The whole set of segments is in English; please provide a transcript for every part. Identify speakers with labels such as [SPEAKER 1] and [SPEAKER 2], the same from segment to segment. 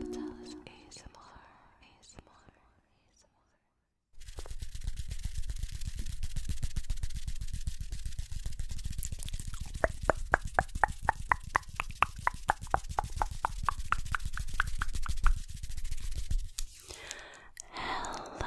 [SPEAKER 1] Patalis ASMR ASMR ASMR Hello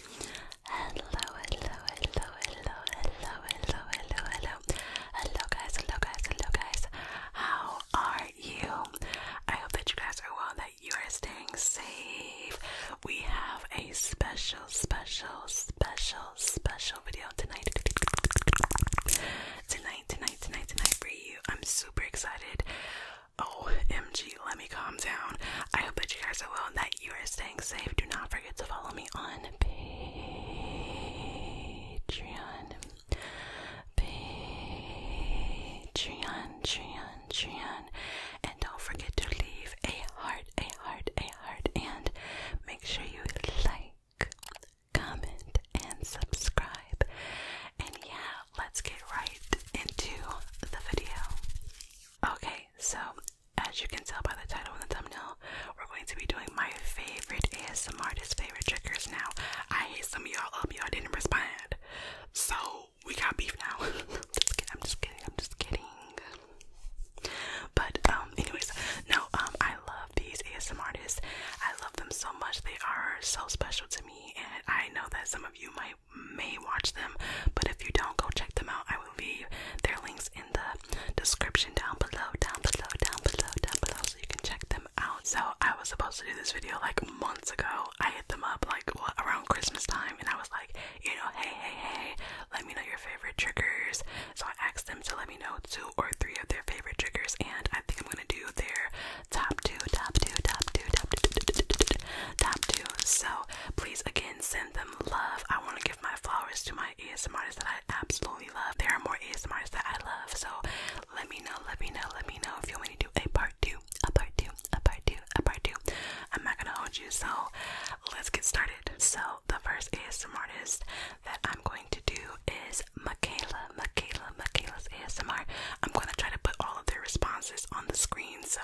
[SPEAKER 1] Hello, hello, hello, hello, hello, hello, hello, hello. Hello guys, hello guys, hello guys. How are you? I hope that you guys are well, that you are staying safe. We have a special, special, special, special video tonight. Tonight, tonight, tonight, tonight for you. I'm super excited. OMG, oh, let me calm down. I hope that you guys are well and that you are staying do not forget to follow me on Patreon. Patreon, Patreon, Patreon. And don't forget to leave a heart, a heart, a heart. And make sure you like, comment, and subscribe. And yeah, let's get right into the video. Okay, so as you can tell by the title and the thumbnail, we're going to be doing my favorite ASMR artist favorite triggers now. I hate some of y'all up, y'all didn't respond. So we got beef now. just kidding, I'm just kidding, I'm just kidding. But um anyways, no, um I love these ASMR artists. I love them so much. They are so special to me and I know that some of you might may watch them, but if you don't go check them out, I will leave their links in the description down below, down below, down below, down below,
[SPEAKER 2] so you can check them out. So I was supposed to do this video like months ago. I hit them up like what,
[SPEAKER 1] around Christmas time, and I was like, you know, hey, hey, hey, let me know your favorite triggers. So I asked them to let me know two or three of their favorite triggers, and I think I'm gonna do their top two, top two, top two, top two, top two. So please again send them love. I want to give my flowers to my ASMRs that I absolutely love. There are more ASMRs that I love, so let me know, let me know, let me know if you want me to do a part two, a part two, a part two, a part two. I'm not gonna hold you, so let's get started. So the first ASMR artist that I'm going to do is Michaela, Michaela, Michaela's ASMR. I'm gonna try to put all of their responses on the screen, so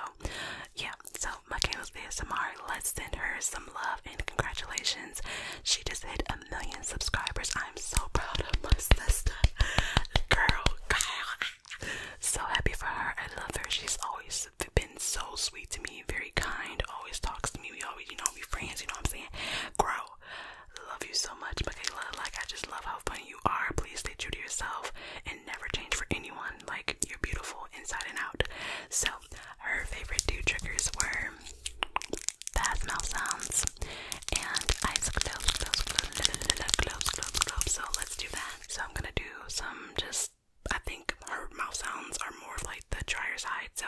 [SPEAKER 1] yeah, so my Michael's ASMR. Let's send her some love and congratulations. She just hit a million subscribers. I'm so proud of my sister. Girl, So happy for her. I love her. She's always been so sweet to me, very kind, always talks to me. We always, you know, we friends, you know what I'm saying? Grow. love you so much, Michaela. Like, I just love how funny you are. Please stay true to yourself and never change for anyone. Like, you're beautiful inside and out. So, her favorite two triggers were fast mouth sounds and eyes close, So let's do that. So I'm gonna do some just I think her mouth sounds are more like the drier side, so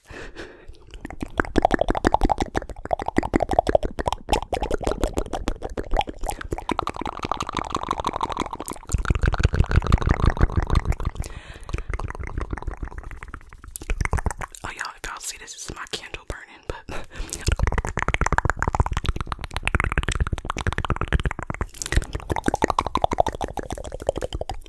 [SPEAKER 1] Oh, y'all, if y'all see this, this is my candle burning, but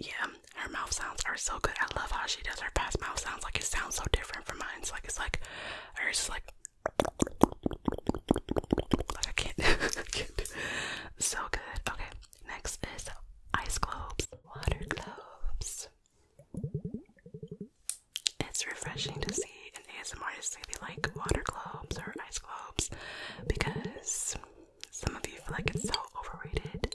[SPEAKER 1] Yeah, her mouth sounds are so good. I love how she does her past mouth sounds. Like it sounds so different from mine. It's like it's like hers is like I can't, So good. Okay, next is ice globes, water globes. It's refreshing to see an ASMR is maybe like water globes or ice globes because some of you feel like it's so overrated.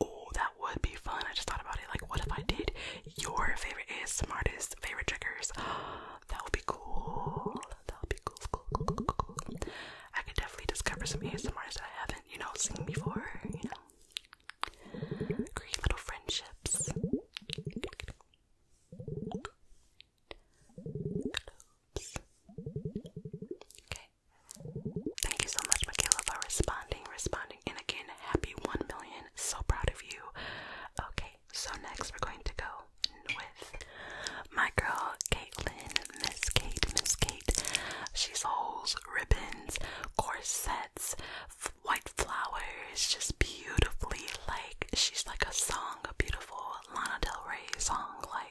[SPEAKER 1] Oh, that would be fun. I just thought about it. Like, what if I did your favorite ASMR artist, favorite triggers? that would be cool. That would be cool, cool, cool, cool, cool. I could definitely discover some ASMRs that I haven't, you know, seen before, you know. Great little friendships. Okay. Thank you so much, Michaela, for responding, responding, and again, happy 1 million. So proud of you. Okay, so next we're going to go with my girl, Caitlin, Miss Kate, Miss Kate. She sells ribbons, corsets, white flowers, just beautifully, like, she's like a song, a beautiful Lana Del Rey song, like,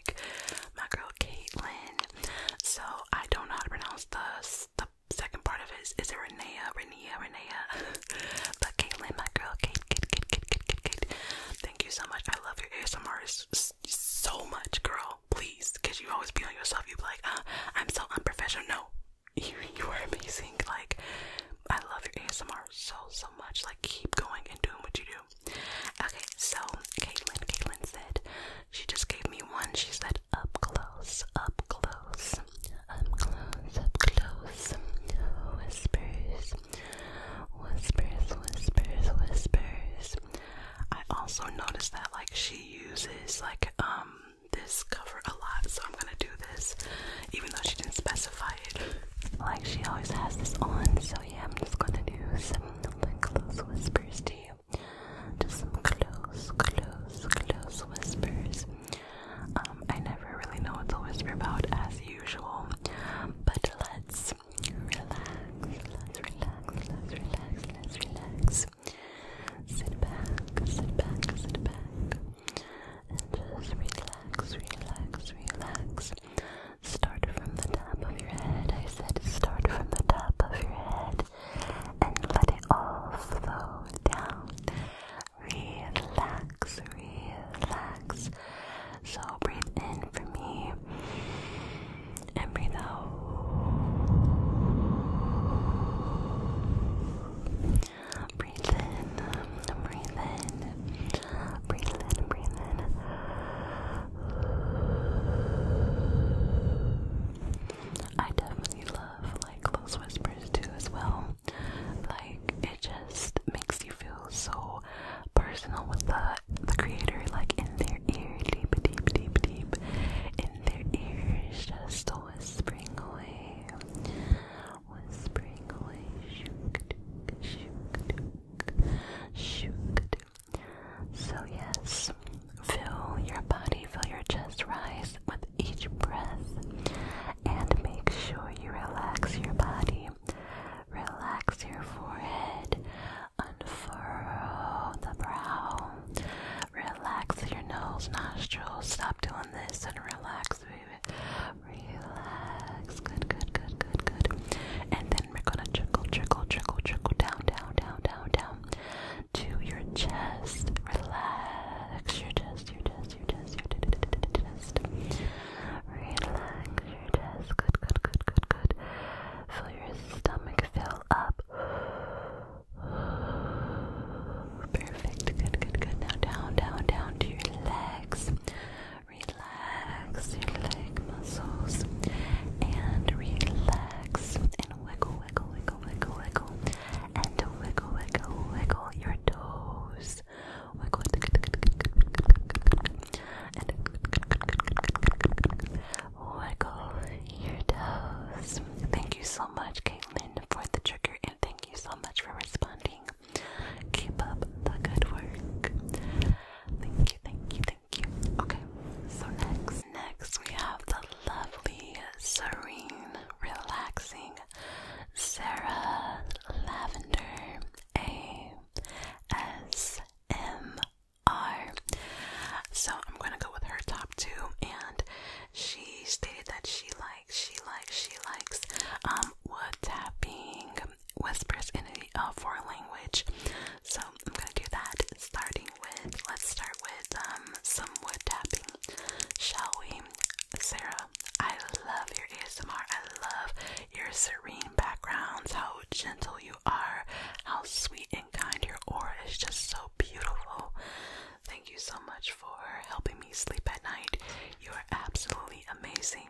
[SPEAKER 1] my girl Caitlyn. So I don't know how to pronounce the the second part of his. Is it Renea? Renea? Renea? but Caitlyn, my girl, Kate, Thank you so much. I love your ASMR so much, girl. Please, because you always be on yourself. You be like, uh, I'm so unprofessional. No, you you are amazing. Like, I love your ASMR so so much. Like, keep going and doing what you do. Okay, so Caitlin, Caitlin said, she just gave me one. She said, up close, up close, up close, up close. Whispers, whispers, whispers, whispers. I also noticed that like she uses like um this cover a lot, so I'm gonna do this even though she didn't specify it. Like she always has this on, so yeah, I'm just gonna do some like close whispers to you. Just some close, close, close whispers. Um, I never really know what to whisper about as usual. But let's relax, let relax, relax, relax. Sit back, sit back, sit back. And just relax, relax, relax start from the top of your head. I said start from the top of your head and let it all flow down. Relax, relax. So breathe in for me and breathe out. Breathe in, breathe in, breathe in, breathe in. I definitely love like close whispers too as well. Like it just makes you feel so personal with the the creator, like in their ear, deep, deep, deep, deep, in their ears, just whispering away, whispering away, shook, shook, shook, so, yes, fill your body, fill your chest, rise with each breath, and make sure you relax your body. Relax your forehead, unfurl the brow, relax your nose, nostrils. Stop doing this and relax, baby. Relax. Good, good, good, good, good. And then then we're gonna trickle, trickle, trickle, trickle down, down, down, down, down to your chest. Relax your chest, your chest, your chest, your chest. Relax your chest. Good, good, good, good, good. Feel your stomach fill up. Perfect. Good, good, good. Now down, down, down to your legs relax your leg muscles and relax and wiggle, wiggle, wiggle, wiggle, wiggle, and wiggle, wiggle, wiggle your toes. Wiggle, your toes. Thank you so much, Caitlin, for the trigger, and thank you so much for responding. Keep up the good work. Thank you, thank you, Okay, so next, next we have the lovely, serene, relaxing Sarah Lavender A S M R. So I'm gonna go with her top two, and she stated that she likes, she likes, she likes um wood tapping, whispers in a foreign language. So I'm gonna do that starting with, let's start with um, some wood tapping, shall we? Sarah, I love your ASMR. I love your serene backgrounds, how gentle you are, how sweet and kind your aura is just so beautiful. Thank you so much for helping me sleep at night. You are absolutely amazing.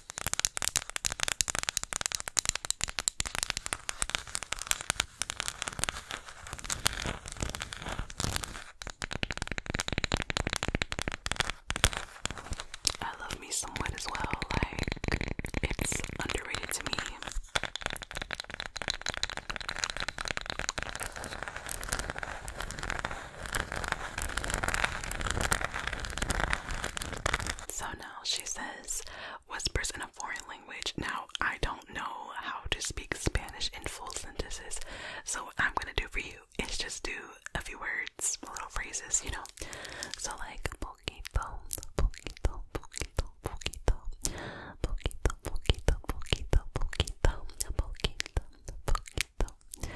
[SPEAKER 1] I love me somewhat as well, like it's underrated to me. So now she says, whispers in a foreign language. Now, I don't know how to speak Spanish in full sentences, so what I'm gonna do for you is just do a few words, little phrases, you know. So, like, poquito, poquito, poquito, poquito, poquito, poquito, poquito, poquito, poquito, poquito, poquito,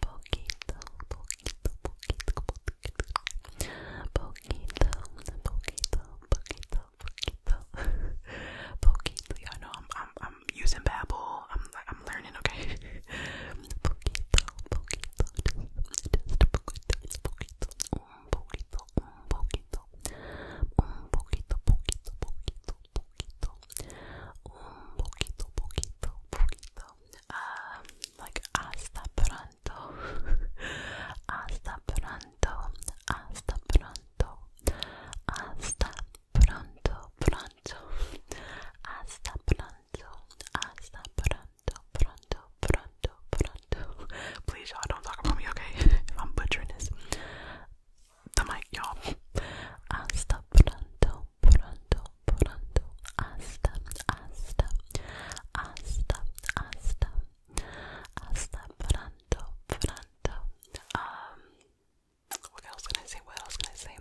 [SPEAKER 1] poquito, poquito, poquito, poquito, poquito, poquito, poquito, poquito, poquito. Y'all know I'm, I'm, I'm using Babbel. I'm, I'm learning. Okay. poquito, poquito, just, just poquito, poquito, un poquito, un poquito, un poquito, poquito, poquito, poquito. Un poquito, poquito, poquito, um, like hasta pronto, hasta pronto, hasta pronto, hasta pronto, pronto, hasta pronto, hasta pronto, pronto, pronto, pronto. Please, y'all, don't talk about me, okay? if I'm butchering this, the mic, y'all. Hasta pronto, pronto, pronto, hasta, hasta, hasta, hasta, hasta pronto, pronto. Um, what else can I say? What else can I say?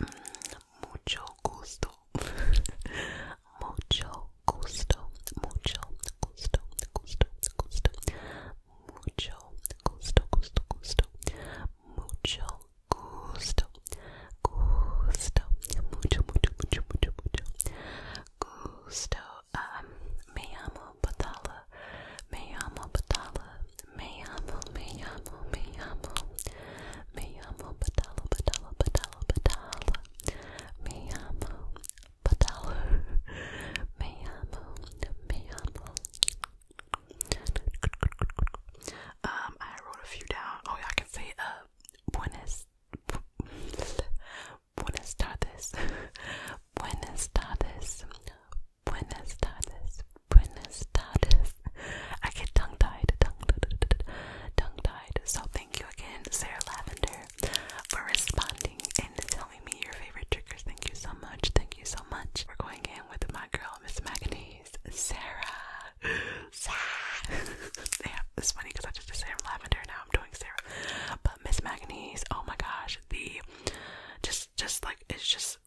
[SPEAKER 1] Mm, mucho gusto, mucho gusto, mucho gusto, gusto, gusto, mucho gusto, gusto, gusto, mucho gusto, gusto, mucho, mucho, mucho, mucho, mucho gusto. Um, me llamo Batala, me llamo Batala, me llamo, me llamo, me llamo, me llamo Batala, Batala, Batala, Batala, me llamo Batala, me llamo, me llamo. Um, I wrote a few down. Oh, yeah, I can say uh, buenas, tardes, buenas tardes, buenas tardes, buenas tardes. I get tongue tied, tongue, tongue tied. So thank you again, Sarah Lavender, for responding and telling me your favorite triggers. Thank you so much. Thank you so much. We're going in with my girl, Miss Magnese, Sarah. yeah, it's funny because I just did Sarah Lavender. Now I'm doing Sarah, but Miss Magnese. Oh my gosh, the just just like it's just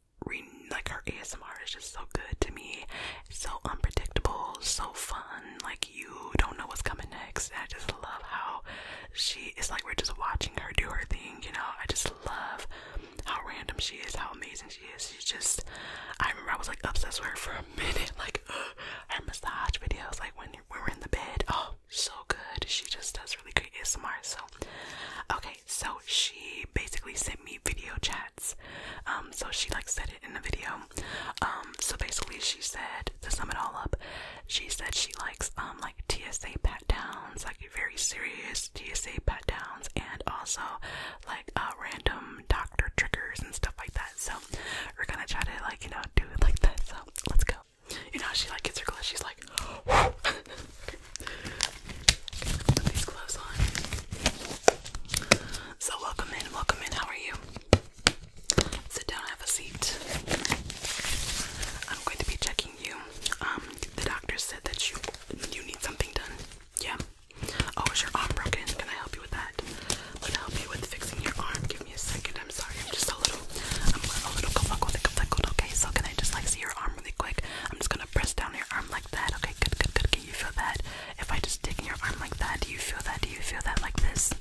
[SPEAKER 1] like her ASMR is just so good to me. so unpredictable, so fun. Like you don't know what's coming next. I just love how she is like we're just watching her do her thing. You know, I just love how random she is, how amazing she is. She's just, I remember I was like obsessed with her for a minute. Like uh, her massage videos, like when, we're in the bed, oh, so good. She just does really great ASMR. So, okay, so she basically sent me video chats. Um, so she like said it in the video. Um, so basically she said to sum it all up, she said she likes um like TSA pat downs, like very serious TSA pat downs, and also like uh random doctor triggers and stuff like that. So we're gonna try to like, you know, do it like this. So let's go. You know she like gets her clothes. she's like okay, put these gloves on. So welcome in, welcome in, how are you? Sit down, have a seat. I'm going to be checking you. Um the doctor said that you you need something done. Yeah. Oh, is your arm broken? Can I help you with that? I'm gonna help you with fixing your arm. Give me a second. I'm sorry. I'm just a little. I'm a little conflicted. Okay, so can I just like see your arm really quick? I'm just gonna press down your arm like that. Okay, good, good, good. Can you feel that? If I just take your arm like that, do you feel that? Do you feel that like this?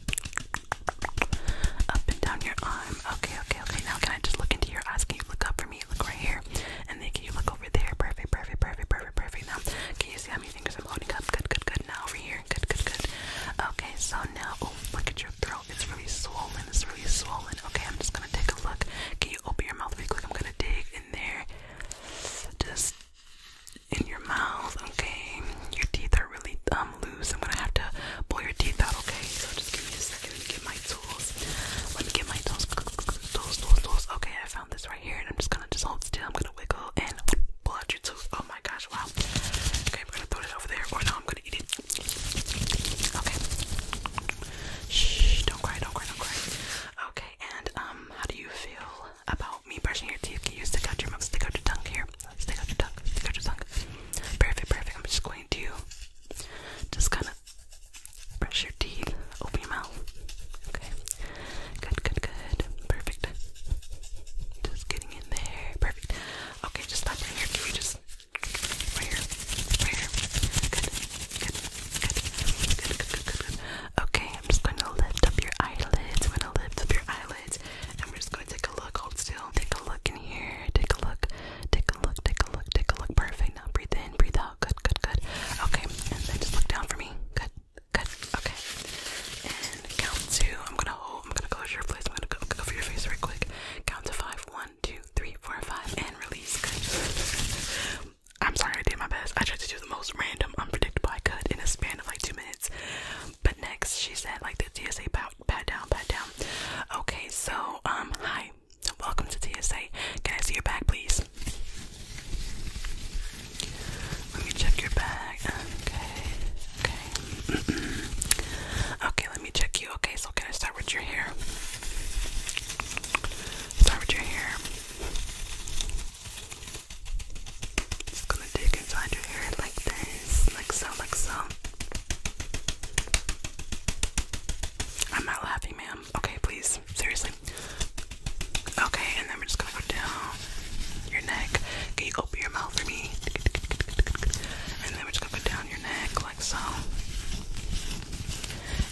[SPEAKER 1] Up and down your arm. Okay, okay, okay. Now can I just look into your eyes? Can you look up for me? Look right here, and then can you look over there? Perfect, perfect, perfect, perfect perfect, Now, can you see how many fingers I'm holding up? Good, good, good. Now over here. Good, good, good. Okay, so now, oh, look at your throat. It's really swollen. It's really swollen. Okay, I'm just gonna take a look. Can you open your mouth really quick? I'm gonna dig in there. Just in your mouth. Okay, your teeth are really um, loose. I'm gonna have to pull your teeth out. Okay, so just give me a second. Let get my tools. Let me get my tools. Tools, tools, tools. Okay, I found this here, and I'm just gonna just hold still. I'm gonna wiggle and pull your tooth. Oh my gosh, wow. Okay, we're gonna throw it over there, or no, I'm gonna eat it. Okay. Shh, don't cry, don't cry, don't cry. Okay, and um, how do you feel about me brushing your teeth? Can you stick out your mouth, stick out your tongue here? Stick out your tongue, stick out your tongue. Perfect, perfect. I'm just going to just kind of Brush your teeth. Open your mouth. Okay. Good, good, good. Perfect. Just getting in there. Perfect. Okay, just right here. just right here? Right here. Good. Good. Good. Good. Good. Good. Good. Okay, I'm just going to lift up your eyelids. I'm going to lift up your eyelids. And we just going to take a look. Hold still. Take a look in here. Take a look. Take a look. Take a look. Take a look. Perfect. Now breathe in. Breathe out. Good. Good. Good. Okay. And then just look down for me. Good. Good. Okay. And count to. I'm gonna hold. I'm gonna close your place. I'm gonna go cover your face right quick. Count to five. One, two, three, four, five, and release. Good. I'm sorry. I did my best. I tried to do the most random, unpredictable I could in a span of like two minutes. But next, she said, like the TSA pat, pat down, pat down. Okay. So, um, hi. Welcome to TSA. Can I see your bag, please? Let me check your bag. Okay. Okay. Okay, let me check you. Okay, so can I start with your hair? Start with your hair. Just gonna dig inside your hair like this, like so, like so. I'm not laughing, ma'am. Okay, please. Seriously, Okay, and then we're just gonna go down your neck. Can you open your mouth for me? And then we're just gonna go down your neck like so.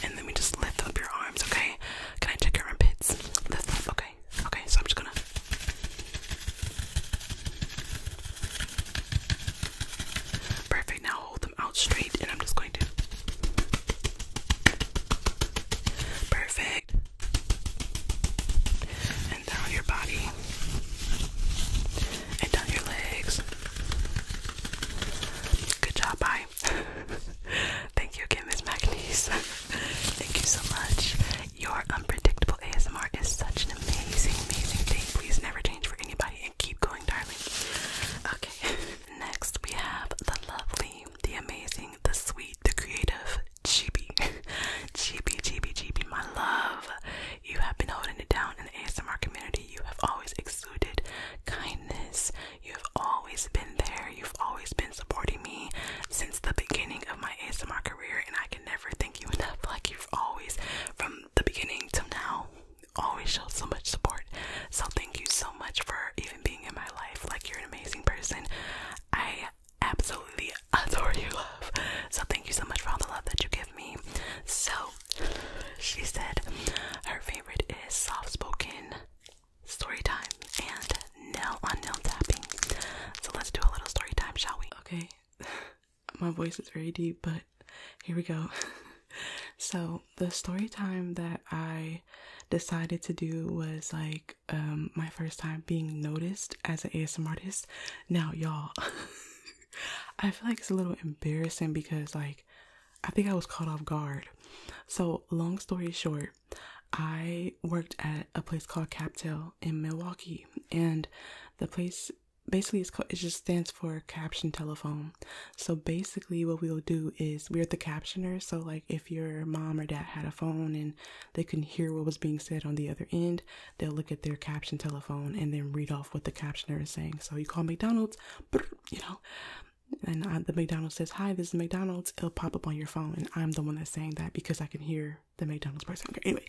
[SPEAKER 1] And then we just lift up your arms, okay? Can I check your armpits? Lift up, okay. Okay, so I'm just gonna Perfect. Now hold them out straight and I'm just Perfect. And down your body. And down your legs. Good job, bye. Thank you again, McNeese. Thank you so much. Your unpredictable ASMR is such an amazing, amazing thing. Please never change for anybody and keep going, darling. Okay, next we have the lovely the amazing, the sweet, the creative Chibi. Chibi, Chibi, Chibi, my love. You have been holding it down in the ASMR community. You have always exuded kindness. You have always been there. You've always been supporting me since the beginning of my ASMR career, and I can never thank you enough. Like, you've always, from the beginning to now, always showed so much support. So, thank you so much for being in my life. Like, you're an amazing person. I absolutely adore you. love. So, thank you so much for all the love that you give me. So, she said her favorite is soft spoken story time and nail on nail tapping. So, let's do a little
[SPEAKER 2] story time, shall we? Okay, my voice is very deep, but here we go. so, the story time that I decided to do was like um, my first time being noticed as an ASMR artist. Now y'all I feel like it's a little embarrassing because like I think I was caught off guard. So long story short, I worked at a place called Captel in Milwaukee and the place basically it's it just stands for caption telephone. So basically what we will do is we're the captioners. So like if if your mom or dad had a phone and they can hear what was being said on the other end, they'll look at their caption telephone and then read off what the captioner is saying. So you call McDonald's, you know, and the McDonald's says, Hi, this is McDonald's. It'll pop up on your phone. And I'm the one that's saying that because I can hear the McDonald's person. Anyway,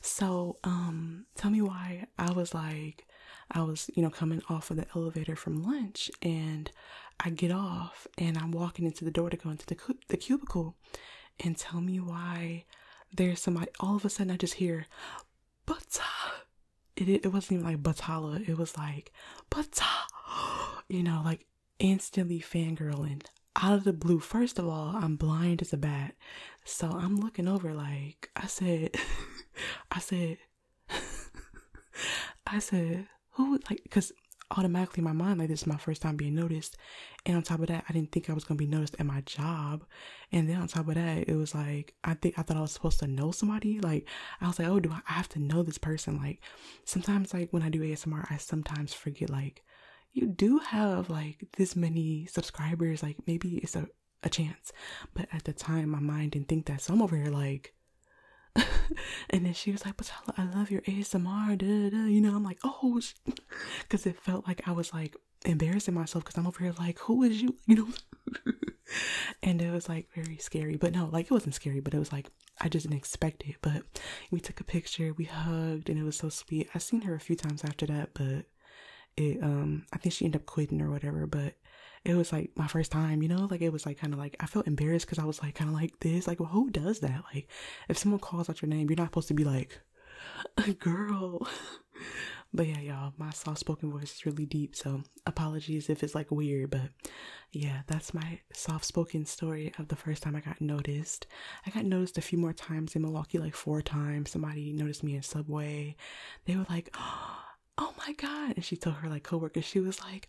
[SPEAKER 2] so um, tell me why I was like, I was, you know, coming off of the elevator from lunch and I get off and I'm walking into the door to go into the the cubicle, and tell me why there's somebody. All of a sudden, I just hear, "But it it wasn't even like Batala. It was like But you know, like instantly fangirling out of the blue. First of all, I'm blind as a bat, so I'm looking over. Like I said, I said. I said, who like because automatically in my mind like this is my first time being noticed and on top of that i didn't think i was going to be noticed at my job and then on top of that it was like i think i thought i was supposed to know somebody like i was like oh do i have to know this person like sometimes like when i do asmr i sometimes forget like you do have like this many subscribers like maybe it's a, a chance but at the time my mind didn't think that so i'm over here like and then she was like, Patala, I love your ASMR. Da, You know, I'm like, oh, because it felt like I was like embarrassing myself because I'm over here like, who is you? You know, and it was like very scary, but no, like it wasn't scary, but it was like I just didn't expect it. But we took a picture, we hugged, and it was so sweet. I've seen her a few times after that, but it, um, I think she ended up quitting or whatever, but it was like my first time, you know, like it was like kind of like I felt embarrassed because I was like kind of like this. Like, well, who does that? Like, if someone calls out your name, you're not supposed to be like, girl. but yeah, y'all, my soft spoken voice is really deep. So apologies if it's like weird, but yeah, that's my soft spoken story of the first time I got noticed. I got noticed a few more times in Milwaukee, like four times. Somebody noticed me in Subway. They were like, oh my God. And she told her like coworkers, she was like,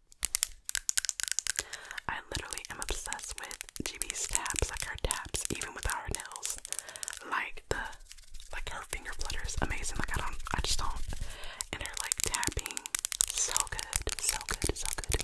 [SPEAKER 1] I literally am obsessed with GB's taps, like her taps, even with our nails. Like the like her finger flutters amazing. Like I don't I just don't and her like tapping so good. So good, so good.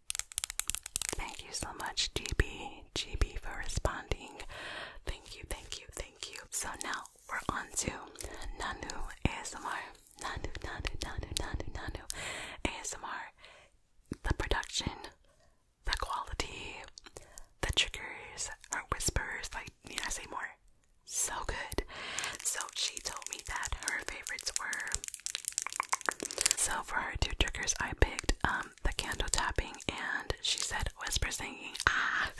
[SPEAKER 1] Thank you so much, GB. GB for responding. Thank you, thank you, thank you. So now we're on to Nanu ASMR. Nanu, Nanu, Nanu, Nanu, Nanu ASMR. The production, the quality, the triggers, our whispers, like need I say more? So good. So she told me that her favorites were so for her two triggers I picked um the candle tapping, and she said whisper singing. Ah,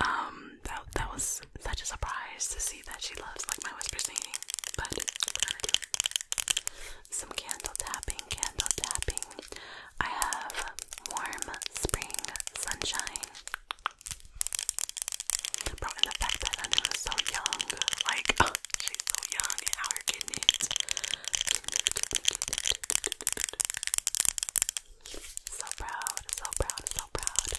[SPEAKER 1] um, that that was such a surprise to see that she loves like my whisper singing. But we're gonna do some candle tapping, candle tapping. I have warm spring sunshine. Bro, the fact that I was so young, like she's so young and out here getting it. So proud, so proud, so proud.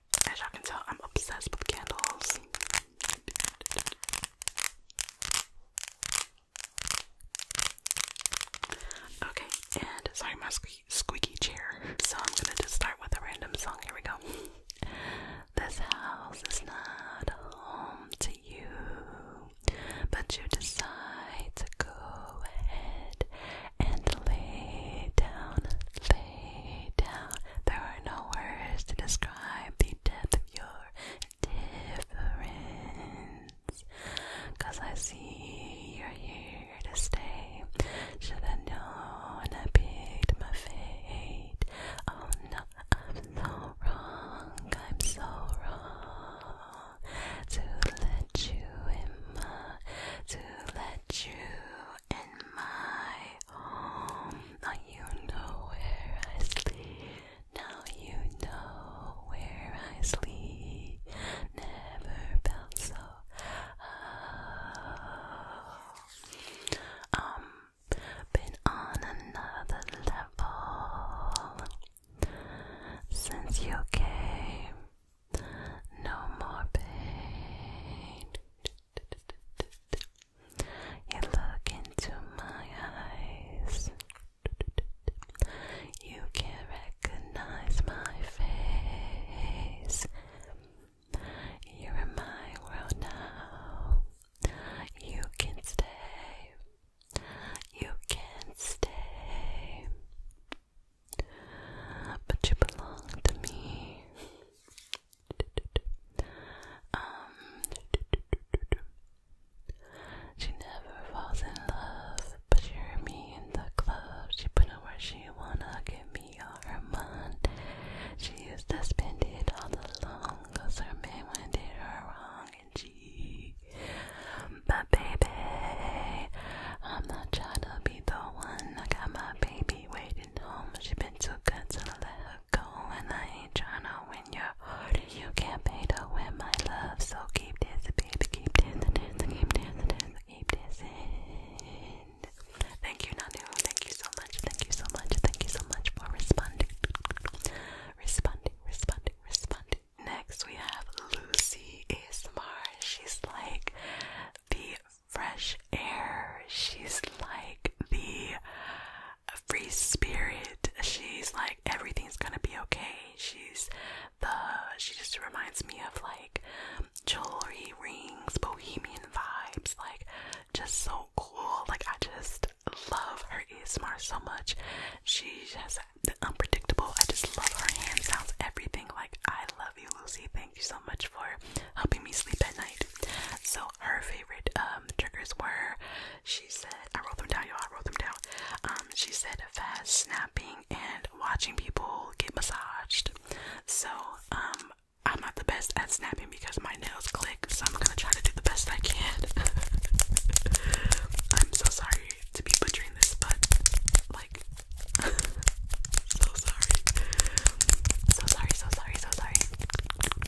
[SPEAKER 1] As y'all can tell, I'm obsessed with candles. Okay, and sorry, my squeaky chair. So I'm gonna just start with a random song. Here we go. This house is not home to you, but you decide to go ahead and lay down, there are no words to describe the depth of your difference. Cause I see you're here to stay. Should've known I picked my fate. Oh no, I'm so wrong. I'm so wrong to let you in to let you in my home. Now you know where I sleep. Now you know where I sleep. Never felt so. Oh. Um, been on another level since you came. No more pain. You look into my eyes. You can recognize my face. You're in my world now. You can stay. You can stay. But you belong to me. Um, she never falls in love, but she heard me in the club. She put on where she wanna give me all her money. She used to spend it all alone, cause her man went did her wrong, and she. But baby, I'm not trying to be the one. I got my baby waiting home. She been too good to let her go and I ain't tryna win your heart. You can't pay to win my love, so keep dancing, baby, keep dancing, dancing, keep dancing, dancing, keep dancing. Thank you, Nanu. Thank you so much. Thank you so much. Thank you so much for responding, responding, responding, responding. Next, we have Lucy ASMR. She's like the fresh air. She's like the free spirit. She's like everything's gonna be okay. She's the she just reminds me of like jewelry, rings, bohemian vibes, like just so cool. Like I just love her ASMR so much. She has the unpredictable. I just love her hand sounds, everything. Like I love you, Lucy. Thank you so much for helping me sleep at night. So her um, triggers were. She said, I wrote them down, y'all. I wrote them down. Um, she said fast snapping and watching people get massaged. So um, I'm not the best at snapping because my nails click. So I'm gonna try to do the best I can. I'm so sorry to be butchering this, but like, so sorry, so sorry, so sorry, so sorry.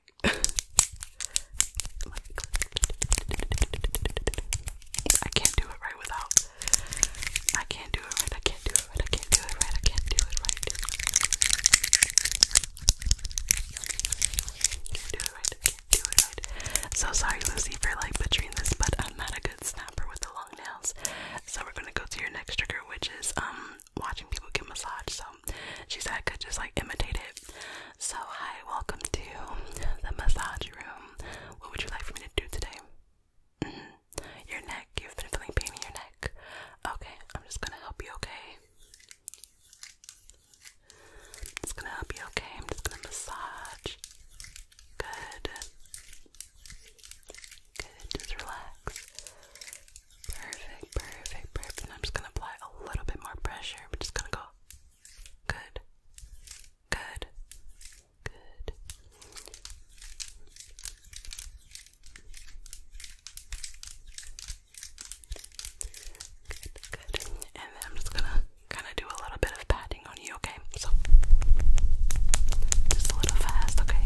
[SPEAKER 1] I can't do it right without. I can't do it right. I can't do it right. I can't do it right. I can't do it right. So sorry, Lucy, for like butchering this, but I'm not a good snapper with the long nails. So we're gonna go to your next trigger, which is um watching people get massaged, so she said I could just like imitate it. So, hi, welcome to the massage room. What would you like for me to do today? Mm-hmm. Your neck, you've been feeling pain in your neck. Okay, I'm just gonna help you, okay? I'm just gonna help you, okay? I'm just gonna massage. Good. Good, just relax. Perfect, perfect, perfect. And I'm just gonna apply a little bit more pressure. We're just gonna go good, good, good. Good, good. And then I'm just gonna kind of do a little bit of patting on you, okay? So, just a little fast, okay?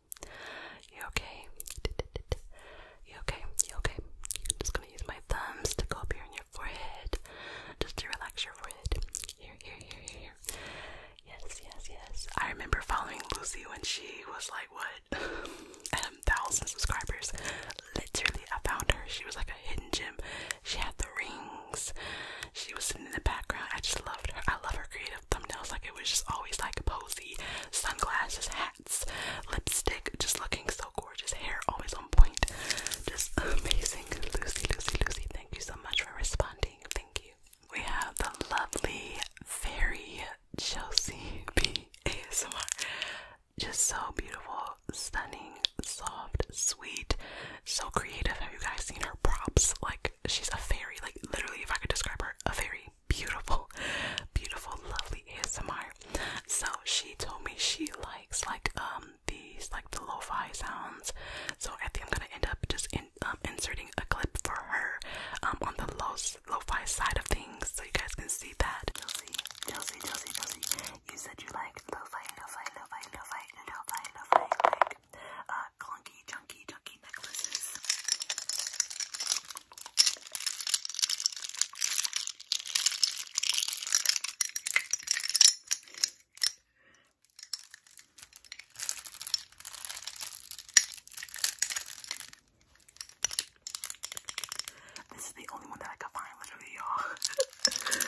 [SPEAKER 1] You okay? You okay? You okay? I'm just gonna use my thumbs to go up here on your forehead, just to relax your forehead. Here, here, here, here, Yes, yes, yes. I remember following Lucy when she was like, what? At a thousand subscribers. Literally, I found her. She was like a hidden gem. She had the rings. She was sitting in the background. I just loved her. I love her creative thumbnails. Like it was just always like posy, sunglasses, hats, lipstick, just looking so gorgeous. Hair always on point. Just amazing. Lucy, Lucy, Lucy, thank you so much for responding. Thank you. We have the lovely, fairy Chelsea B Just so beautiful, stunning, soft, sweet, so creative. Have you guys seen her props? Like she's a fairy. Like literally, if I could describe her, a fairy beautiful, beautiful, lovely ASMR. So she told me she likes like um these like the lo-fi sounds. So I think I'm gonna end up just um, inserting a clip for her um on the lo-fi side of things, so you guys can see that. Chelsea, Chelsea, Chelsea, Chelsea. You said you like lo-fi, lo-fi, lo-fi, lo uh clunky, chunky, chunky necklaces. This is the only one that I could find, literally, y'all.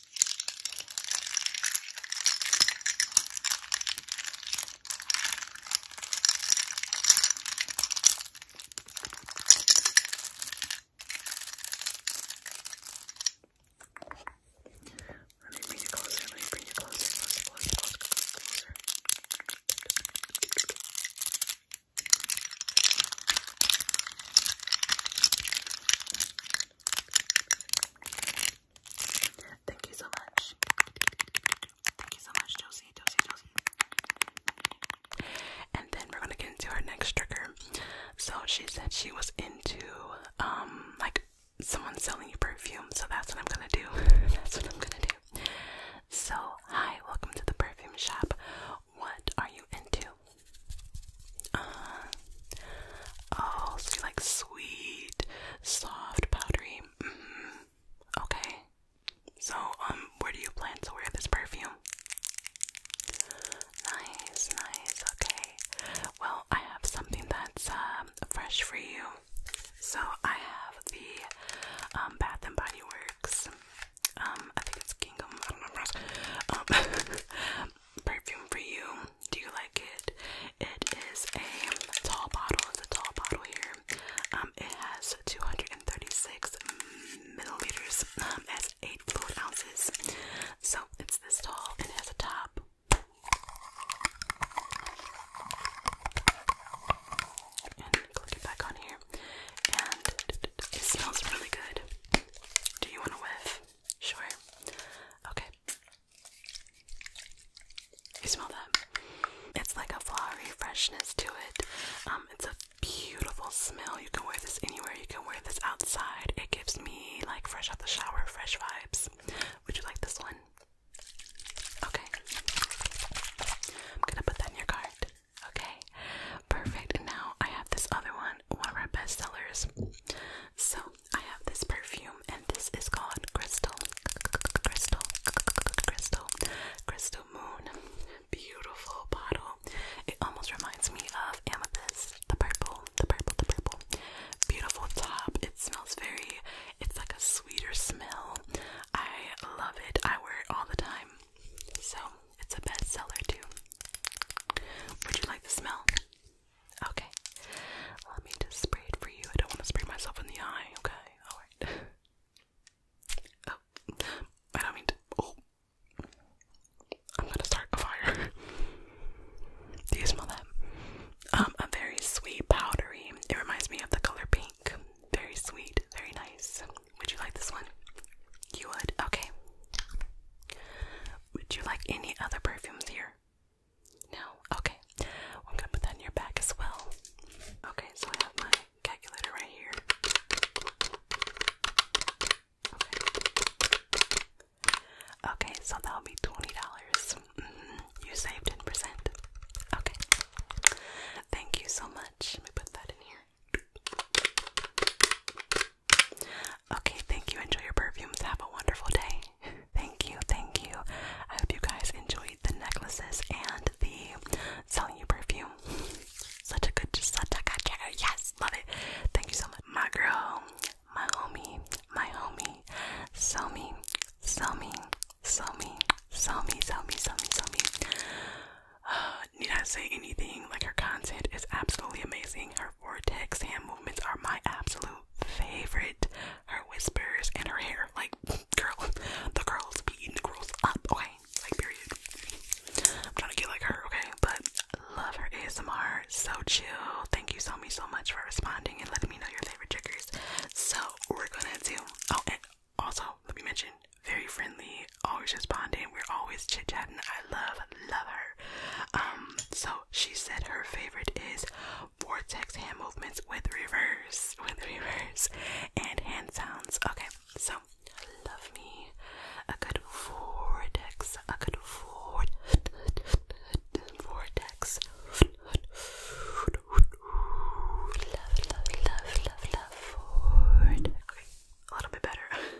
[SPEAKER 1] Let me bring you closer. Let me bring you closer, closer, closer, closer, closer. Thank you so much. Thank you so much, Josie, Josie, Josie. And then we're gonna get into our next trigger. So she said she was into um like someone selling perfume, so that's what I'm gonna do. that's what I'm gonna do. So hi, welcome to the perfume shop. What are you into? Uh, oh, so you like sweet, soft, powdery. Mm-hmm. Okay. So, um, where do you plan to wear this perfume? Nice, nice. Okay. Well, I have something that's um fresh for you. So I have the um Bath and Body Works. Um, I think it's Gingham. I Um, perfume for you. Do you like it? It is a tall bottle. It's a tall bottle here. Um, it has 236 milliliters. Um, it eight fluid ounces. So it's this tall. It has a top. And click it back on here. And it smells really good. Do you want to whiff? Sure. Okay. You smell that? It's like a flowery freshness to it. Um, it's a beautiful smell. You can wear this anywhere. You can wear this outside. It gives me like fresh out the shower, fresh vibes. Would you like this one? Okay. I'm gonna put that in your card. Okay. Perfect. And now I have this other one one of our best sellers. So I have this perfume, and this is called Crystal, Crystal, Crystal, Crystal Moon. Beautiful bottle. It almost reminds me of amethyst, the purple, the purple, the purple. Beautiful top. It smells very. It's like a sweeter smell. I love it. I wear it all the time. So it's a bestseller too. Would you like the smell? Okay. Let me just spray it for you. I don't want to spray myself in the eye, okay? Alright. oh. I don't mean to. Oh. I'm gonna start a fire. Do you smell that? Um, a very sweet powdery. It reminds me of the color pink. Very sweet, very nice. Would you like this one? You would? Okay. Would you like any other perfumes here? No? Okay. Well, i going to put that in your bag as well. Okay, so I have my calculator right here. Okay. so that'll be $20. Mm-hmm. You saved 10%. Okay. Thank you so much. Let me put that in here. Okay, thank you. Enjoy your perfumes. Have a wonderful day. Thank you, thank you. I hope you guys enjoyed the necklaces and the selling you perfume. Such a good, just such a good checker. Yes, love it. Thank you so much, my girl, my homie, my homie. Sell me, sell me, sell me, sell me, sell me, sell me, sell me. Uh, need I say anything? Like her content is absolutely amazing. Her her vortex hand movements are my absolute favorite. Her whispers and her hair, like girl, the girls be the girls up, okay? Like period. I'm trying to get like her, okay? But love her ASMR, so chill. Thank you so so much for responding and letting me know your favorite triggers. So we're gonna do. Okay, oh, also let me mention, very friendly, always responding. We're always chit chatting. I love love her. Um, so she said her favorite is vortex hand movements with reverse, with reverse, and hand sounds. Okay, so love me a good vortex, a good vortex, vortex. Love, love, love, love, love, vortex. Okay, a little bit better.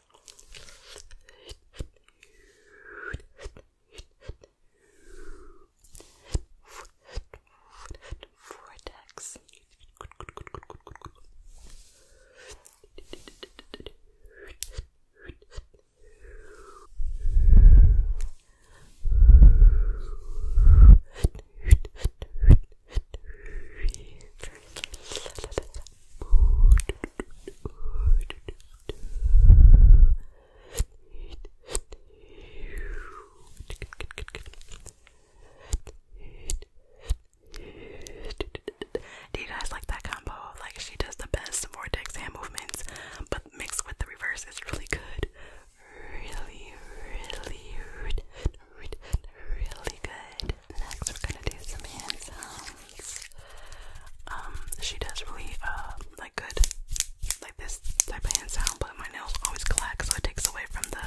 [SPEAKER 1] Vortex. Very do you guys like that combo? Like she does the best vortex hand movements, but mixed with the reverse is really good. Really, really, really, really good. Next, we're gonna do some hand sounds. Um, um, she does really uh like good like this type of hand sound, but my nails always clack, so it takes away from the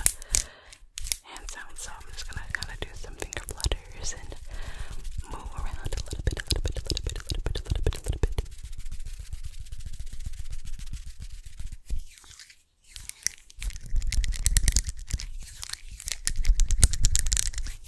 [SPEAKER 1] hand sound. So I'm just gonna kind of do some finger flutters and move around a little bit, a little bit, a little bit, a little bit, a little bit, a little bit.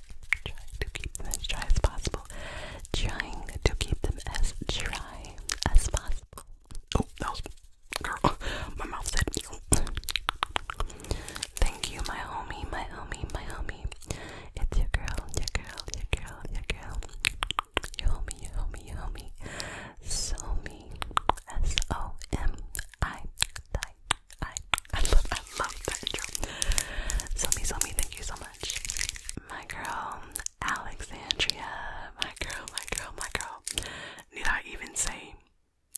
[SPEAKER 1] trying to keep them as dry as possible. Trying to keep them as dry as possible. Oh, that was My mouth said. Thank you, my homie, my homie, my homie. It's your girl, your girl, your girl, your girl. Your homie, your homie, your homie. So me. S O M I. I. I love, I love that intro. So me, so me. Thank you so much much. My girl, Alexandria. My girl, my girl, my girl. Need I even say,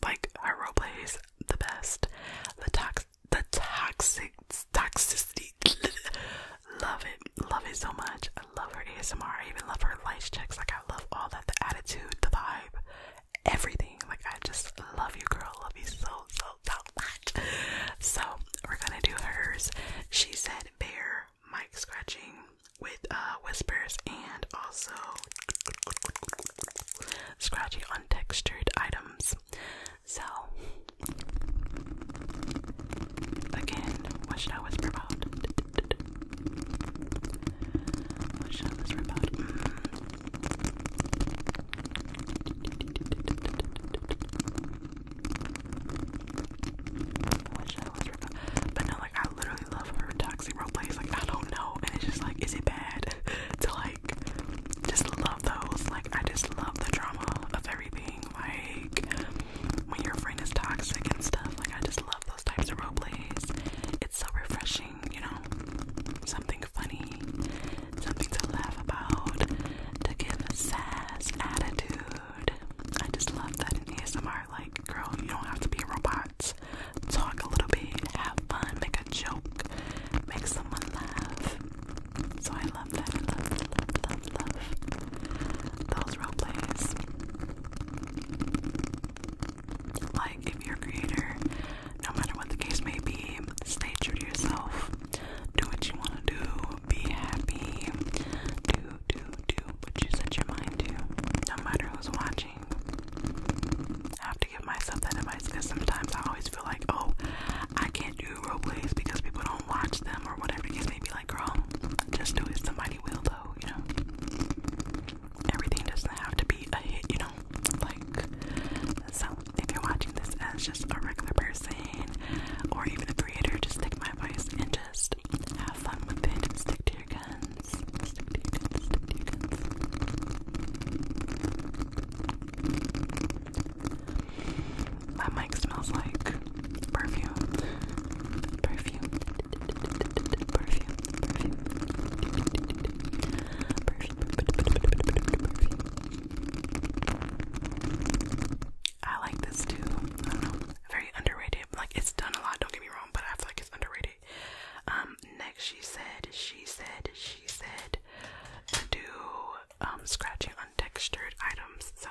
[SPEAKER 1] like, her roleplay is the best. The tox, the toxic, toxicity. love it. Love it so much. I love her ASMR. I even love her light checks. Like, I love all that. The attitude, the vibe, everything. Like, I just love you, girl. Love you so so, we're gonna do hers. She said bear mic scratching with uh, whispers and also scratching on textured items. So again, what should I whisper about? What should I whisper about? Hmm. I but no, like I literally love her toxic roleplays. Like I don't know, and it's just like, is it bad to like just love those? Like I just love the drama of everything. Like when your friend is toxic and stuff. Like I just love those types of roleplays. It's so refreshing, you know, something funny something to laugh about, to give a sass attitude. I just love that in ASMR, like, girl, you don't have to be a robot. Talk a little bit, have fun, make a joke, make someone laugh. So I love that. I love, love, love those role plays. Like, if you're a creator, no matter what the case may be, stay true to yourself do what you wanna do, be happy, do, do, do what you set your mind to, no matter who's watching. I have to give myself that advice because sometimes I always feel like, oh, I can't do role plays because people don't watch them or whatever the case may be. Like, girl, just do it. mighty will, though, you know. Everything doesn't have to be a hit, you know. Like, so if you're watching this as just a regular person or even a creator, just take my advice and just have fun with it stick to your guns. My mic smells like Perfume. Perfume. Perfume. Perfume. Perfume. I like this too. I don't know. Very underrated. Like it's done a lot, don't get me wrong, but I feel like it's underrated. Um, next she said, she said, she said to do um scratching on textured items. So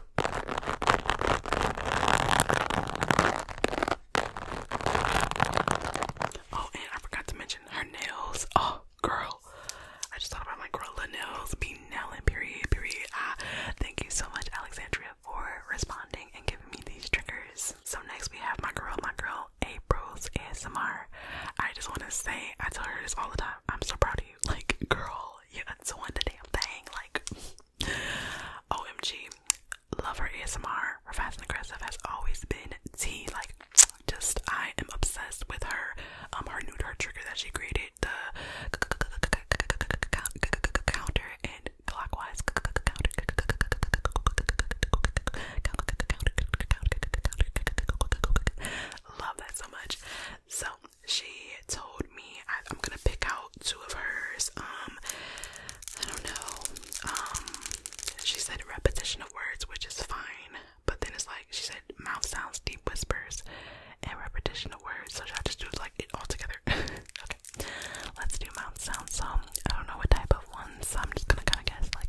[SPEAKER 1] Oh, and I forgot to mention her nails. Oh, girl. I just thought about my gorilla nails. Be nailing, period, period. Ah, thank you so much, Alexandria, for responding and giving me these triggers. So next we have my girl, my girl, April's ASMR. I just want to say, I tell her this all the time. I'm so proud of you. Like, girl, you're doing the damn thing. Like, OMG, love her ASMR. Her fast and aggressive has always been tea. Like, just I am obsessed with her. Um, her nude her trigger that she created the counter and clockwise counter counter. Love that so much. So she told me I, am gonna pick out two of hers. Um, I don't know. Um, she said repetition of words, which is fine, but then it's like she said mouth sounds, deep whispers, and repetition of words. So I just do like it all together? okay, let's do mouth sounds. So um, I don't know what type of ones. I'm just gonna kind of guess like.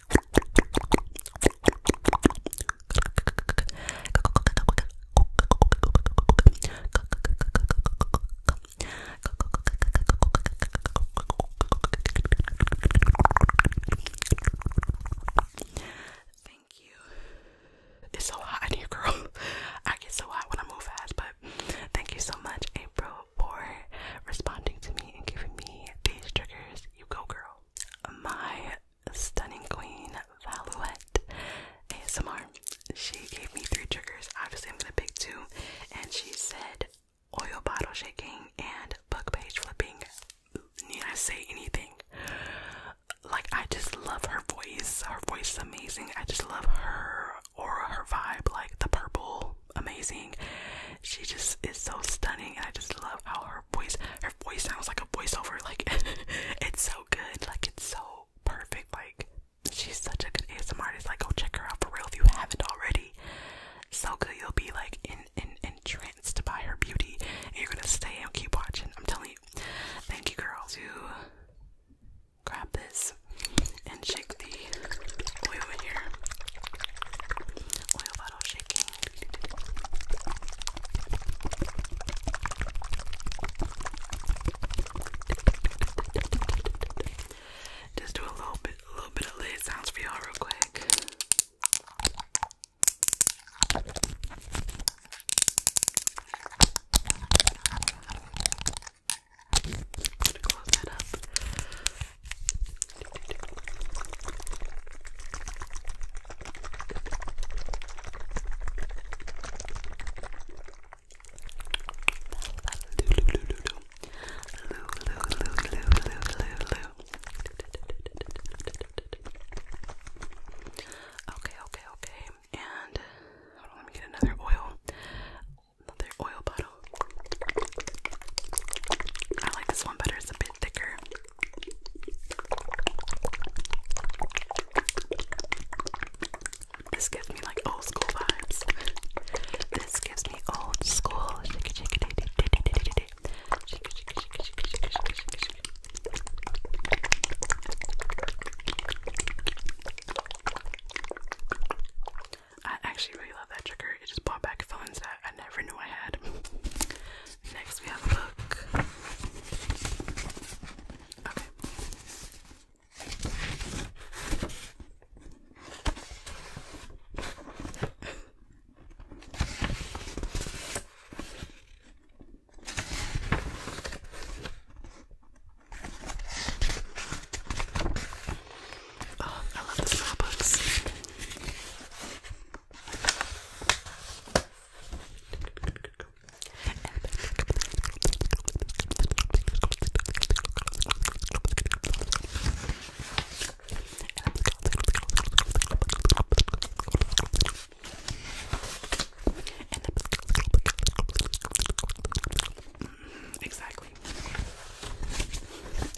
[SPEAKER 1] Thank you. It's so hot in here, girl. I get so hot when I move fast, but thank you so much, April, for responding to me and giving me these triggers. You go, girl. My stunning queen, Valouette ASMR. She gave me three triggers. Obviously, I'm gonna pick two. And she said oil bottle shaking and book page flipping. Need I say anything? Like, I just love her voice. Her voice is amazing. I just love her aura, her vibe, like the purple amazing. She just is so stunning, and I just love how her voice, her voice sounds like a voiceover. Like it's so good, like it's so perfect. Like she's such a good ASMR It's Like go check her out for real if you haven't already. So good, you'll be like in in entranced by her beauty, and you're gonna stay and keep watching. I'm telling you. Thank you, girls. You grab this shake the oil here. Oil bottle shaking. Just do a little bit, a little bit of lid sounds for y'all real quick. i to close that up. Okay, okay, okay. And hold on, let me get another oil another oil bottle. I like this one better, it's a bit thicker. This gives me like old school vibes. This gives me old school. I actually really love that trigger. It just brought back feelings that I never knew I had. Next, we have a book. Oh, I love the Starbucks. Exactly.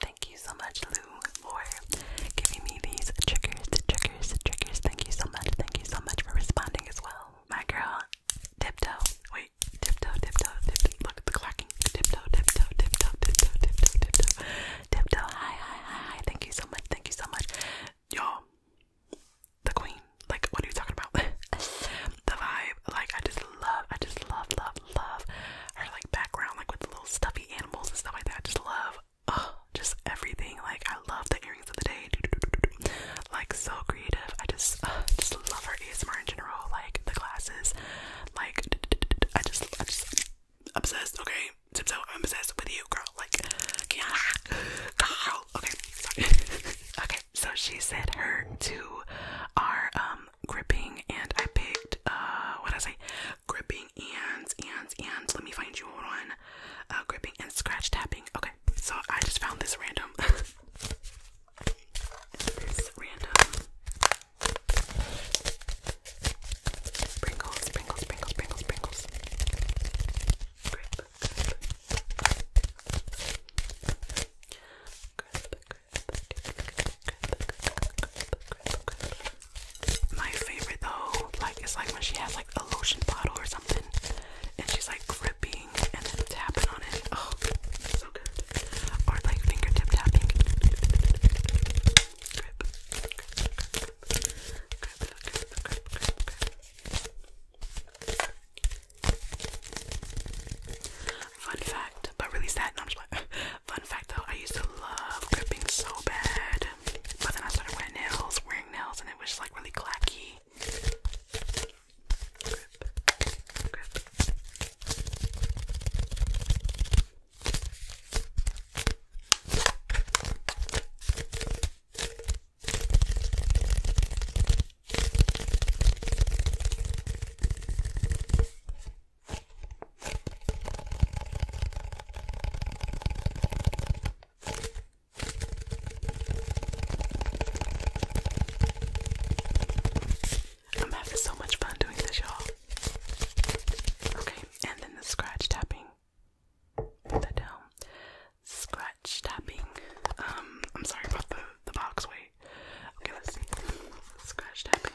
[SPEAKER 1] Thank you so much, Lou, for giving me these triggers, triggers, triggers. Thank you so much. Thank you so much for responding as well. My girl, tiptoe. Wait, tiptoe, tiptoe, tiptoe. Look at the clacking. Tiptoe, tiptoe, tiptoe, tiptoe, tiptoe, tiptoe. Tiptoe. Hi, hi, hi, hi. Thank you so much. Thank you so much. Y'all, the queen. Like, what are you talking about? the vibe. Like, I just love, I just love, love, love her like background, like with the little stuffy animals and stuff like that. I just love, oh, just everything. Like I love the earrings of the day, like so creative. I just, just love her ASMR in general. Like the glasses, like I just, I just obsessed. Okay, so I'm obsessed with you, girl. Like, girl. Okay, okay. So she said her to our um gripping and I picked uh what did I say gripping and and and let me find you one. uh gripping and scratch tapping. Okay, so I just found this random this random sprinkles, sprinkles, sprinkles, sprinkles, sprinkles. My favorite though, like it's like when she has like a lotion bottle or something, and she's like gripping and tapping on it. Oh, so good. Or like fingertip tapping. Fun fact, but really sad. No, I'm just like, fun fact though, I used to love gripping so bad, but then I started wearing nails, wearing nails, and it was just like really clacky. I'm having so much fun doing this, y'all. Okay, and then the scratch tapping. Put that down. Scratch tapping. Um, I'm sorry about the the box. Wait. Okay, let's see. Scratch tapping.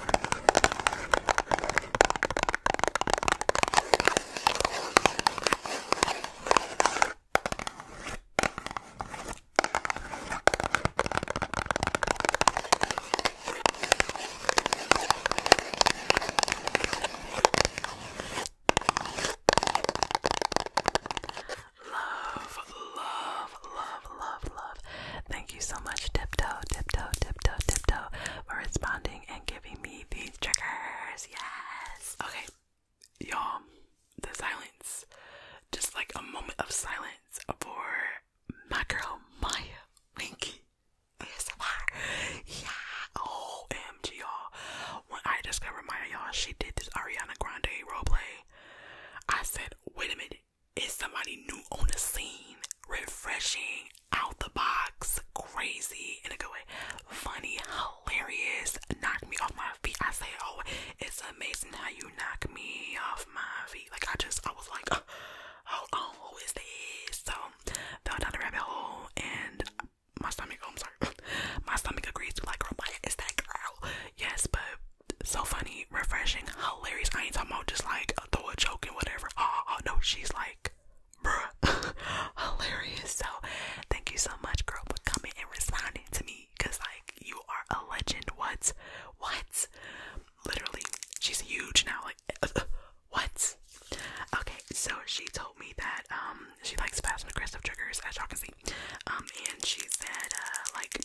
[SPEAKER 1] Love, love, love, love, love, love. Thank you so much, Tiptoe, Tiptoe, Tiptoe, Tiptoe, for responding and giving me these triggers. Yes. Okay, y'all, the silence. Just like a moment of silence for my girl, Maya Winky. ASMR. Yeah. OMG, y'all. When I discovered Maya, y'all, she did this Ariana Grande role play. I said, wait a minute is somebody new on the scene, refreshing, out the box, crazy in a good way, funny, hilarious, knock me off my feet. I say, oh, it's amazing how you knock me off my feet. Like I just, I was like, oh, hold on, who is this? So fell down the rabbit hole, and my stomach, oh, I'm sorry, my stomach agrees to like, girl, what is that girl? Yes, but so funny, refreshing, hilarious. I ain't talking about just like throw a joke and whatever. Oh, oh no, she's like, bruh, hilarious. So thank you so much, girl, for coming and responding to me, cause like you are a legend. What? What? Literally, she's huge now. Like, what? Okay, so she told me that um she likes fast and aggressive triggers, as y'all can see. Um, and she said uh like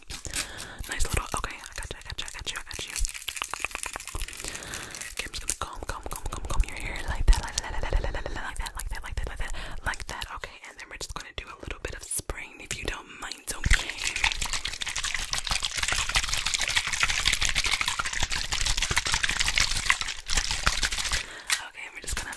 [SPEAKER 1] Nice little. Okay, I got you. I got you. I got you. I got you. Okay, I'm just gonna comb, comb, comb, comb, comb your hair like that, like that, like that, like that, like that, like that, like that, like that, like that. Okay, and then we're just gonna do a little bit of spraying if you don't mind. Okay. Okay, and we're just gonna.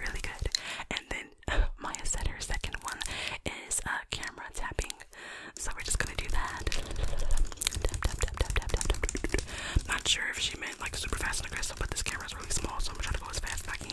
[SPEAKER 1] really good. And then uh, Maya said her second one is a camera tapping. So we're just gonna do that. Not sure if she meant like super fast and aggressive, but this camera's really small, so I'm gonna try to go as fast as I can.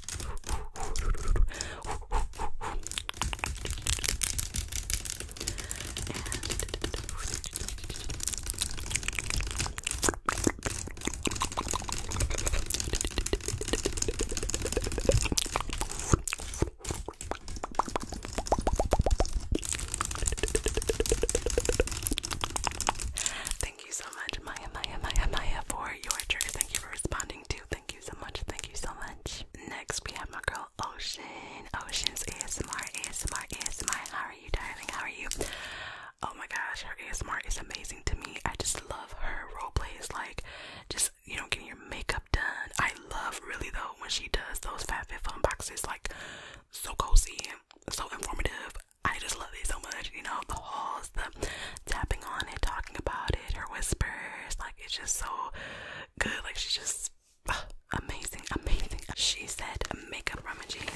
[SPEAKER 1] Thank you so much, Maya, Maya, Maya, Maya, for your trigger. Thank you for responding to Thank you so much. Thank you so much. Next, we have my girl Ocean. Ocean's ASMR, ASMR, ASMR. How are you, darling? How are you? Oh my gosh, her ASMR is amazing to me. I just love her role plays, like just you know, getting your makeup done. I love really though when she does those Fat Fit Fun boxes, like so cozy, so informative. I just love it so much, you know, the hauls the tapping on it, talking about it, her whispers, like it's just so good. Like she's just amazing, amazing. She said makeup rummaging. rummage,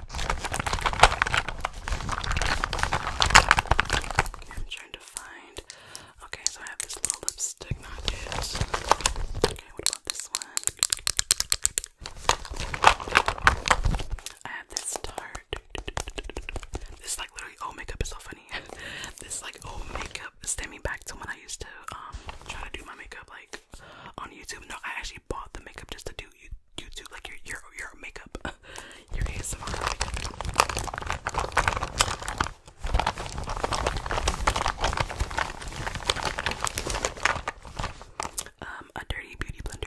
[SPEAKER 1] I'm trying to find. Okay, so I have this little lipstick, not Okay, what about this one? I have this tart. This like literally oh makeup is so funny. this like oh makeup is stemming back to when I used to um try to do my makeup like on YouTube. No, I actually bought the makeup just to do you you YouTube, like your your your makeup, your ASMR makeup. Um, a dirty beauty blender.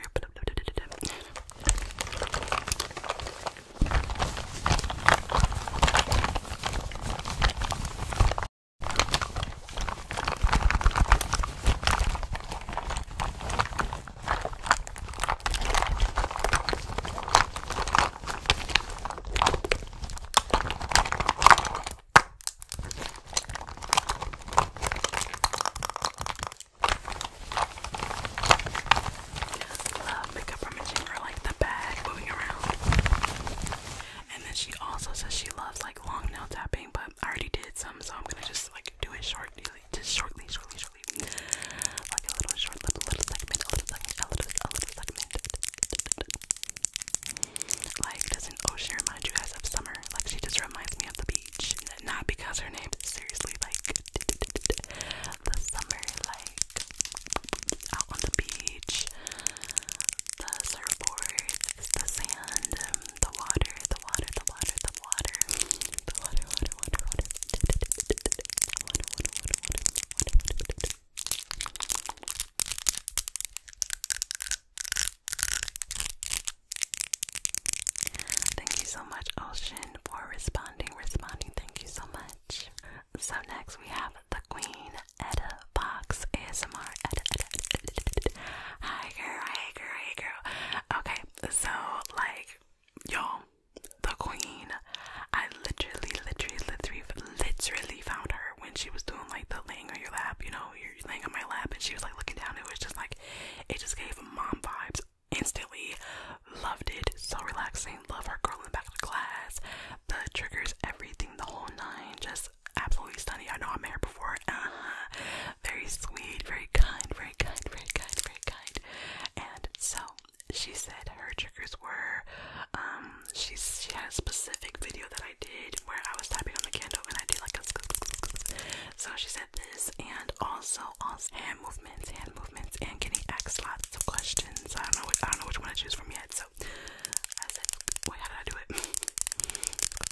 [SPEAKER 1] Love makeup rummaging or like the bag moving around. And then she also says she loves like long nail tapping, but I already did some, so I'm gonna just like do a short. nail literally just shortly, shortly, shortly. Like a little short little segment, little segment, little, segment. Like doesn't Ocean remind you guys of summer? Like she just reminds me of the beach. Not because her name is seriously like the summer, like out on the beach, the surfboard, the sand, the water, the water, the water, the water, the water, water, water, water, water, water, water, water, water. Thank you so much, Ocean, for responding. Responding, thank you so much. So, next we have the Queen Etta Fox ASMR. Etta, Etta, Etta, Etta, Etta. Hi, girl, hi, girl, hi, girl. Okay, so like y'all, the queen. I literally, literally, literally, literally found her when she was doing like the laying on your lap. You know, you're laying on my lap, and she was like looking down. It was just like, it just gave mom vibes instantly. Loved it. So relaxing. Love her girl in back of the class. The triggers, everything, the whole nine. Just absolutely stunning. I know I met here before. Uh-huh very sweet, very kind, very kind, very kind, very kind. And so she said her triggers were um she she had a specific video that I did where I was tapping on the candle and I did like a so she said this and also also hand movements, hand movements and getting asked lots of questions. I don't know which, I don't know which one to choose from yet. So I said, wait, how did I do it?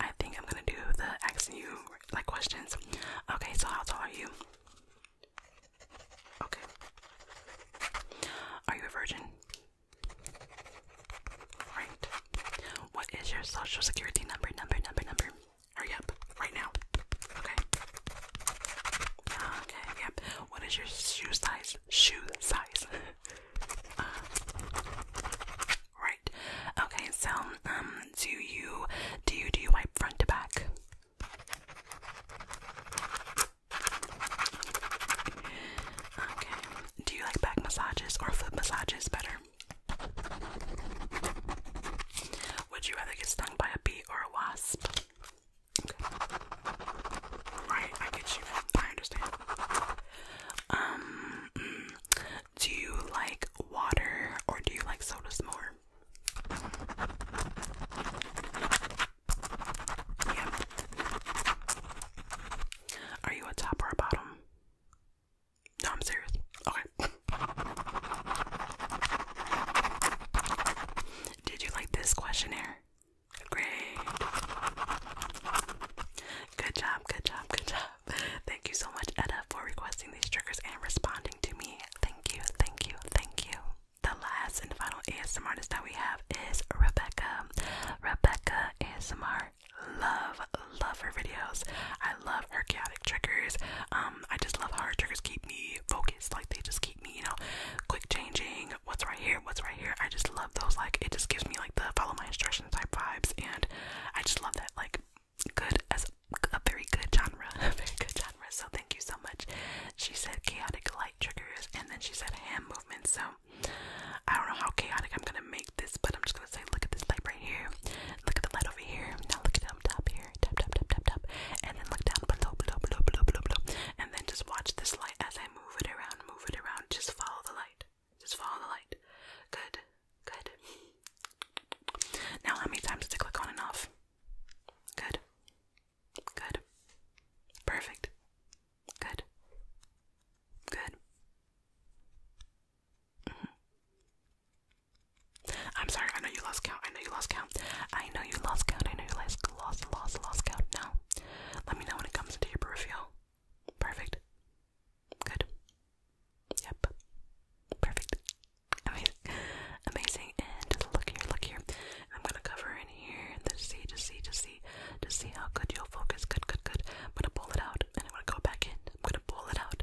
[SPEAKER 1] I think I'm gonna do the asking you like questions. Okay, so how tall are you? Okay. Are you a virgin? Right. What is your social security number? Number, number, number. Hurry up, right now. Okay. Okay, yep. What is your shoe size? Shoe size. Uh, right. Okay, so um do you do you do you wipe front to back? Okay. Do you like back massages or foot massages better? Would you rather get stung by a bee or a wasp? Right, I get you. I understand. Um, mm, do you like water or do you like sodas more? Yeah. Are you a top or a bottom? No, I'm serious. Okay. Did you like this questionnaire? Great. Good job, good job, good job. Thank you so much, Edda, for requesting these triggers and responding to me. Thank you, thank you, thank you. The last and final ASMR artist that we have is Rebecca. Rebecca ASMR. Love, love her videos. I love her chaotic triggers. Um, I just love how triggers keep me focused. Like they just keep me, you know, quick changing. What's right here? What's right here? I just love those. Like it just gives me like the follow my instructions type vibes, and I just love that. Like good as a, very good genre, a very good genre. So thank you so much. She said chaotic light triggers, and then she said hand movements. So I don't know how chaotic I'm gonna make this, but I'm just gonna say look at this light right here. Look at the light over here. Now look at down top here. Tap tap tap tap tap. And then look down below below below below below below. And then just watch this light as I move it around, move it around. Just follow the light. Just follow the light. Good. Good. Now how many times did it click on and off? Good. Good. Perfect. Good. Good. I'm sorry, I know you lost count. I know you lost count. I know you lost count. I know you lost, lost, lost, lost count. Now, let me know when it comes into your peripheral. Perfect. Good. Yep. Perfect. Amazing. Amazing. And look here, look here. I'm gonna cover in here and then see, just see, just see, just see how good you'll focus. Good, good, good. I'm gonna pull it out and I'm gonna go back in. I'm gonna pull it out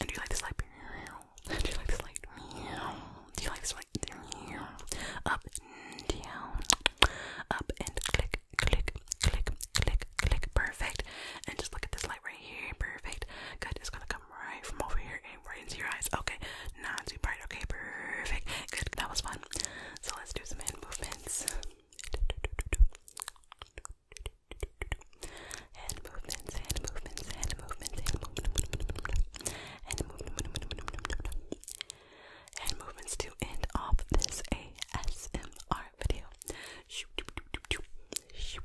[SPEAKER 1] do you like this light? Do you like this light? Do you like this light? Up and down. Up and click, click, click, click, click. Perfect. And just look at this light right here. Perfect. Good. It's gonna come right from over here and right into your eyes. Okay. Not too bright. Okay. Perfect. Good. That was fun. So let's do some hand movements. Hand movements, hand movements, hand movements, hand movements, hand movements, hand movements to end off this ASMR video. Shoop, shoop,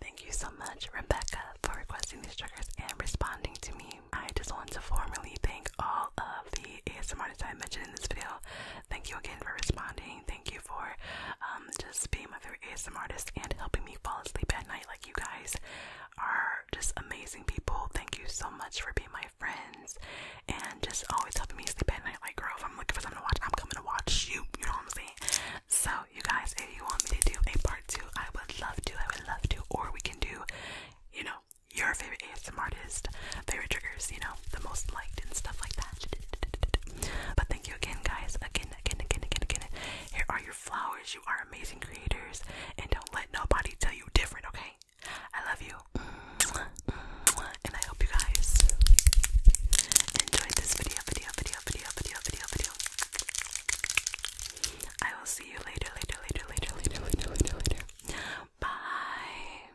[SPEAKER 1] Thank you so much, Rebecca, for requesting these triggers and responding to me. I just want to formally thank all of the ASMR that I mentioned in this video. Thank you again for responding Thank you for um, just being my favorite ASMR artist and helping me fall asleep at night. Like, you guys are just amazing people. Thank you so much for being my friends and just always helping me sleep at night. Like, girl, if I'm looking for something to watch, I'm coming to watch you. You know what I'm saying? So, you guys, if you want me to do a part two, I would love to. I would love to. Or we can do, you know, your favorite ASMR artist, favorite triggers, you know, the most liked and stuff like that. But thank you again, guys. Again, again, again, again, again. Here are your flowers. You are amazing creators, and don't let nobody tell you different. Okay? I love you, and I hope you guys enjoyed this video, video, video, video, video, video, video. I will see you later, later, later, later, later, later, later, later. Bye.